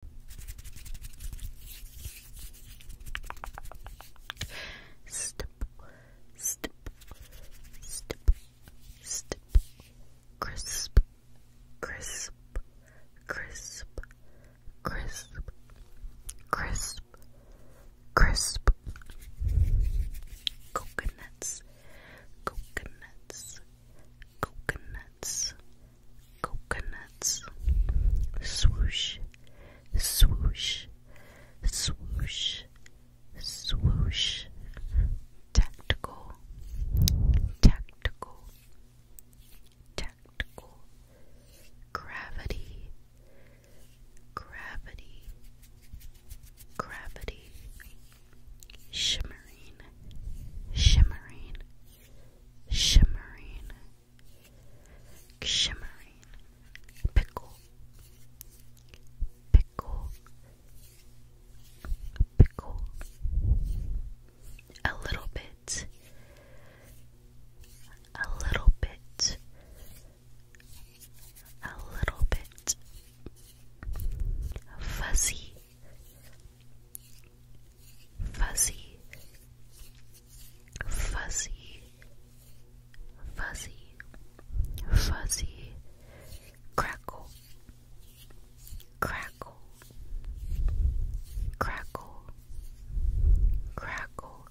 Step, step, step, step, crisp, crisp, crisp, crisp, crisp, crisp, coconuts, coconuts, coconuts coconuts, swoosh, swoosh, swoosh, swoosh, tactical, tactical, tactical, gravity, gravity, gravity, shimmering, shimmering shimmering, shimmering, pickle, pickle, pickle, a little bit, a little bit, a little bit, fuzzy fuzzy, fuzzy, fuzzy, fuzzy, crackle, crackle, crackle, crackle,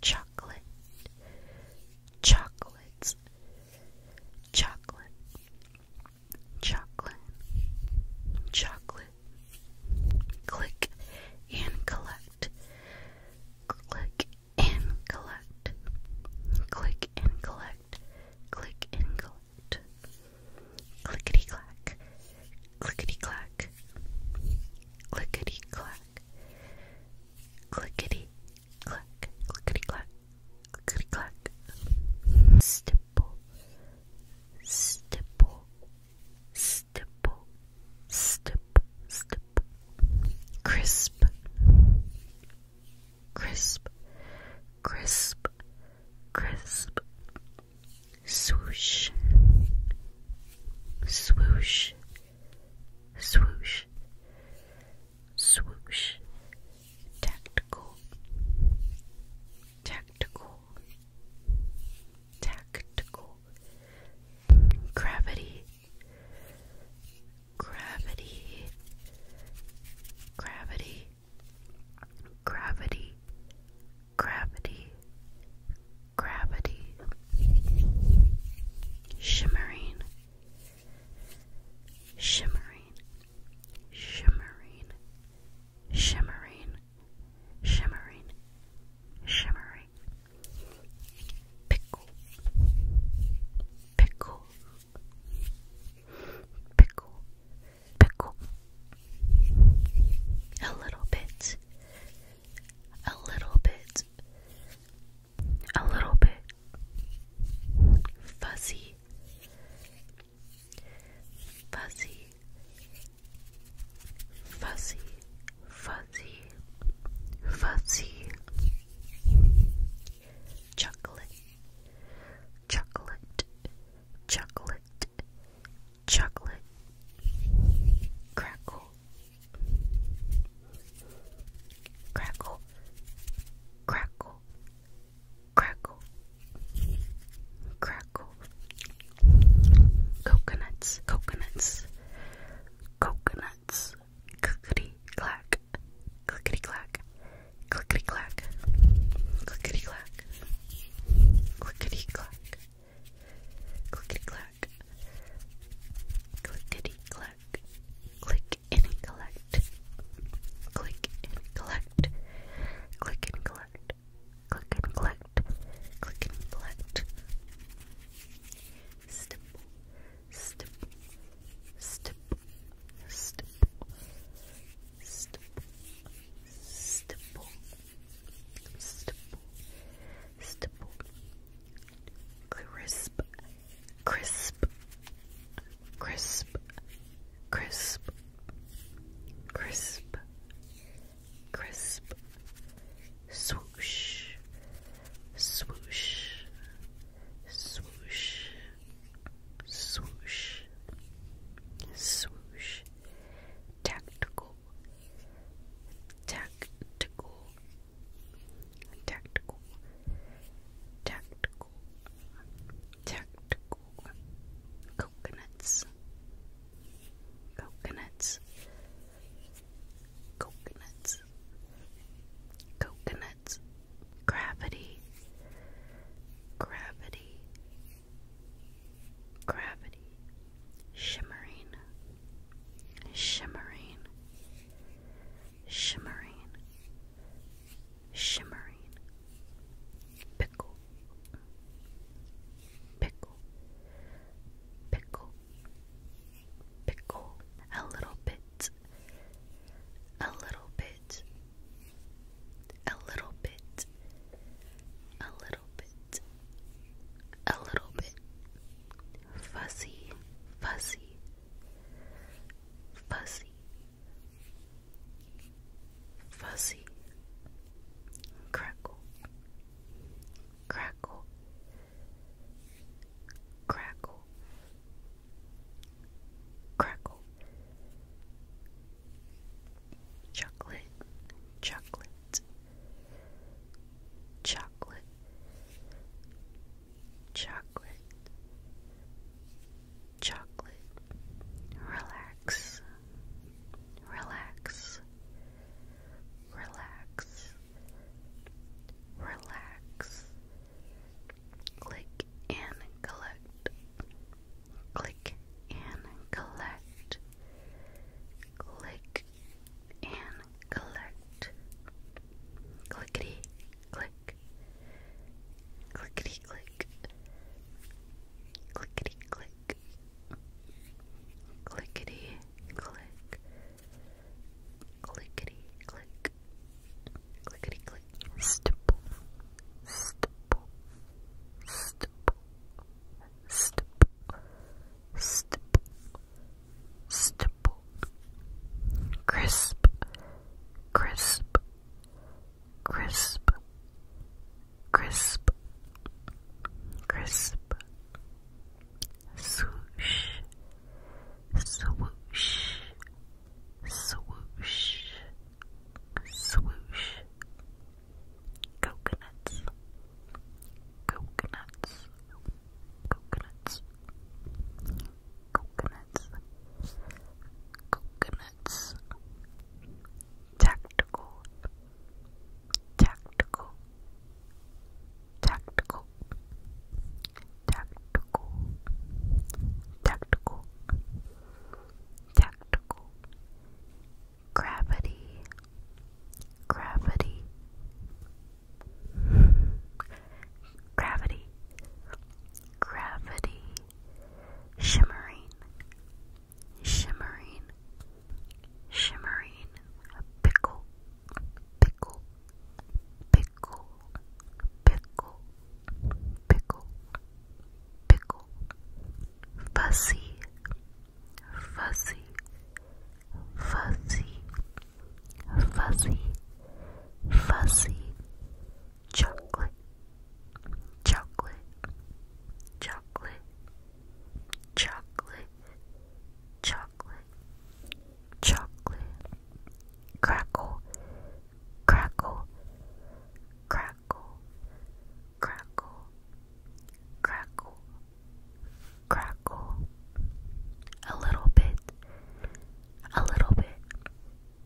chocolate, chocolates, chocolate chocolate, chocolate, click and collect, click and collect, click and collect, click and collect, clickety clack, clickety clack, clickety clack, clickety clack, clickety clack, clickety clack. Stipple, stipple, stipple, stipple, stip, crisp, crisp, crisp, crisp, swoosh, swoosh, swoosh, swoosh, tactical, tactical, tactical, gravity, gravity, gravity, gravity, gravity, gravity, shimmering, shimmering, shimmering shimmering, shimmering, shimmering. Pickle, pickle, pickle, pickle. A little bit, a little bit, a little bit. Fuzzy, fuzzy, fuzzy, fuzzy, fuzzy, chocolate, chocolate, chocolate, chocolate, crackle, crackle, crackle crackle, crackle, coconuts, coconuts, coconuts, clickety clack, clickety clack, clickety clack, clickety clack, clickety clack, clickety clack, clickety clack, click and collect, click and collect collect, click and collect, click and collect, click and collect. Stipple, stipple, stipple, stipple, stipple, stipple, stipple, stipple, crisp, crisp, crisp, crisp. Crisp, crisp, swoosh, swoosh, swoosh, swoosh, swoosh, tactical, tactical, tactical, tactical, Tactical coconuts, coconuts, coconuts, coconuts, gravity, gravity, gravity, shimmering, shimmering, shimmering shimmering, pickle, pickle, pickle, pickle, a little bit, a little bit, a little bit, a little bit, a little bit, fuzzy, fuzzy, fuzzy fuzzy, crackle, crackle, crackle, crackle, chocolate, chocolate, chocolate, chocolate, chocolate. Relax, relax, relax, relax. Click and collect, click and collect, click and collect. Clickety, click, click, clickety click, clickety click, clickety click, clickety click, clickety click, stipple, stipple, stipple, stipple, stipple, stipple, crisp, crisp crisp, crisp, crisp, swoosh, swoosh, swoosh, swoosh, coconuts, coconuts, coconuts, coconuts coconuts, tactical, tactical, tactical, tactical, tactical, tactical, gravity, gravity. Gravity, gravity, shimmering, shimmering, shimmering, pickle, pickle, pickle, pickle, pickle, pickle, fuzzy, fuzzy, fuzzy, fuzzy, fuzzy chocolate, chocolate, chocolate, chocolate, chocolate, chocolate, crackle, crackle, crackle, crackle, crackle, crackle, a little bit, a little bit